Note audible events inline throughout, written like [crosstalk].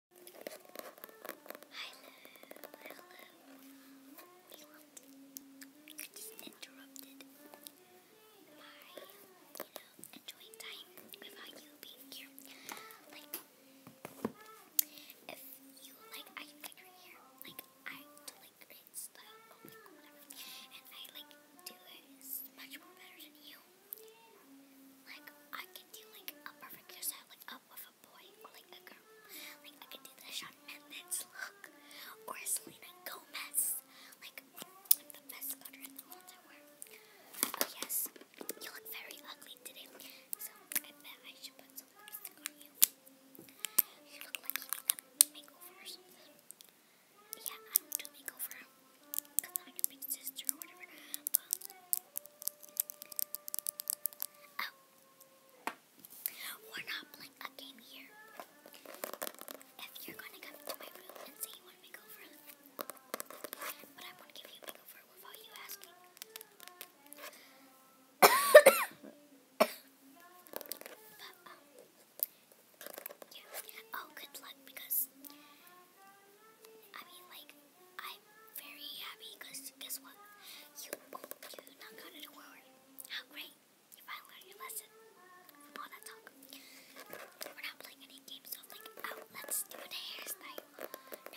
I just interrupted my, you know, enjoying time without you being here. Like, if you like, I can your hair. Like, I do like great style, oh my god, whatever. And I like do it much more better than you. Like, I can do like a perfect hairstyle, like up with a boy or like a girl. Like, I can do the Shawn Mendes look or a Selena Gomez. Like, am the best cutter in the whole entire world. Oh, yes, you look very ugly today. So, I bet I should put some lipstick on you. You look like you need a makeover or something. Yeah, I don't do makeover. Cause oh, we're not playing a game here. If you're gonna come to my room and say you want to make over, but I'm going give you a makeover without you asking. [coughs] but, um, Oh, good luck because I mean, like, I'm very happy because guess what? You, you not got it award. How great! You finally learned your lesson all that talk. We're not playing any games, so like, oh, let's do a hairstyle.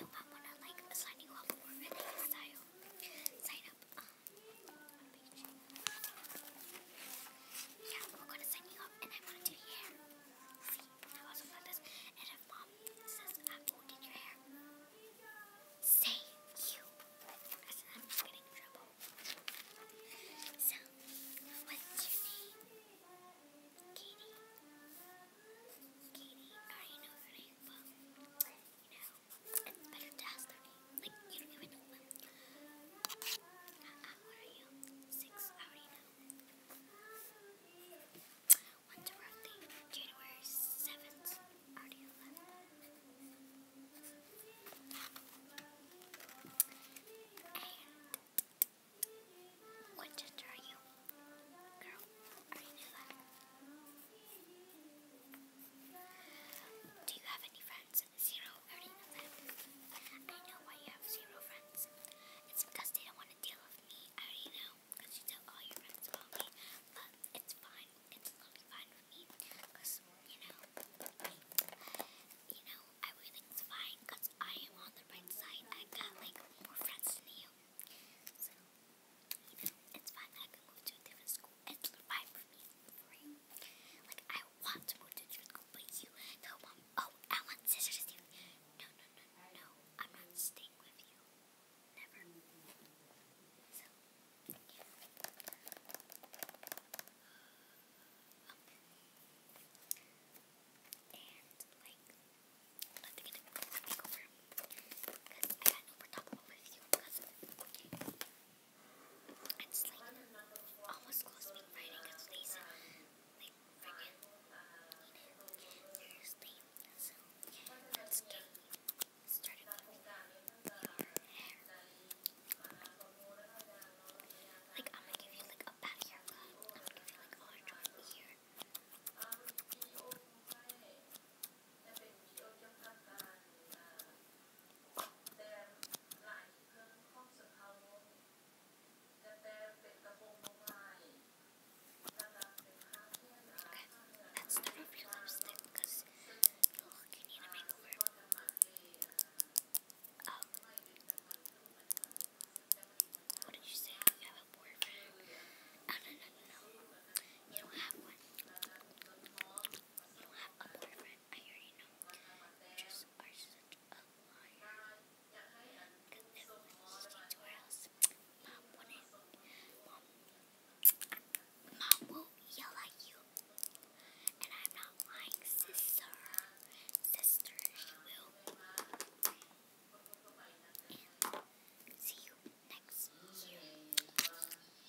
No, I wanna like sign you up for a hairstyle. Sign up. Um, yeah, we're gonna sign you up, and I wanna do your hair say you. I said, I'm getting in trouble. So, what's your name? Katie. Katie, I already know her name, but, it's better to ask their name. Like, you don't even know them. Uh, uh, what are you? Six, I already know. When's her birthday? January 7th. Already 11th. And what gender are you? Girl, I knew that. Do you have any friends? zero arena left. I know why you have zero friends. It's because they don't want to deal with me. I already know, because you tell all your friends about me. But it's fine. It's totally fine with me. Because, you know, you know, everything's fine. Because I am on the right side. I got, like, more friends than you. So, you know, it's fine. I can move to a different school. It's fine for me. Like, I do want to move to the but you, no, mom. Oh, I want scissors No, no, no, no, I'm not staying with you. Never. So, yeah. Okay. And, like, Because I got no more talk with you. Because, it's like almost close to being Friday because like friggin' Thursday. So let's get started Like I'm gonna give you like a back haircut. I'm gonna give you like orange one here. That's not a lipstick because you need a you say? a boyfriend? Oh, no, no, no. You don't have one. You don't have a boyfriend. I already know. You are such a liar. Because everyone just came to our house. Mom wouldn't. Mom, will yell at you. And I'm not lying, sister. Sister, she will. see you next year.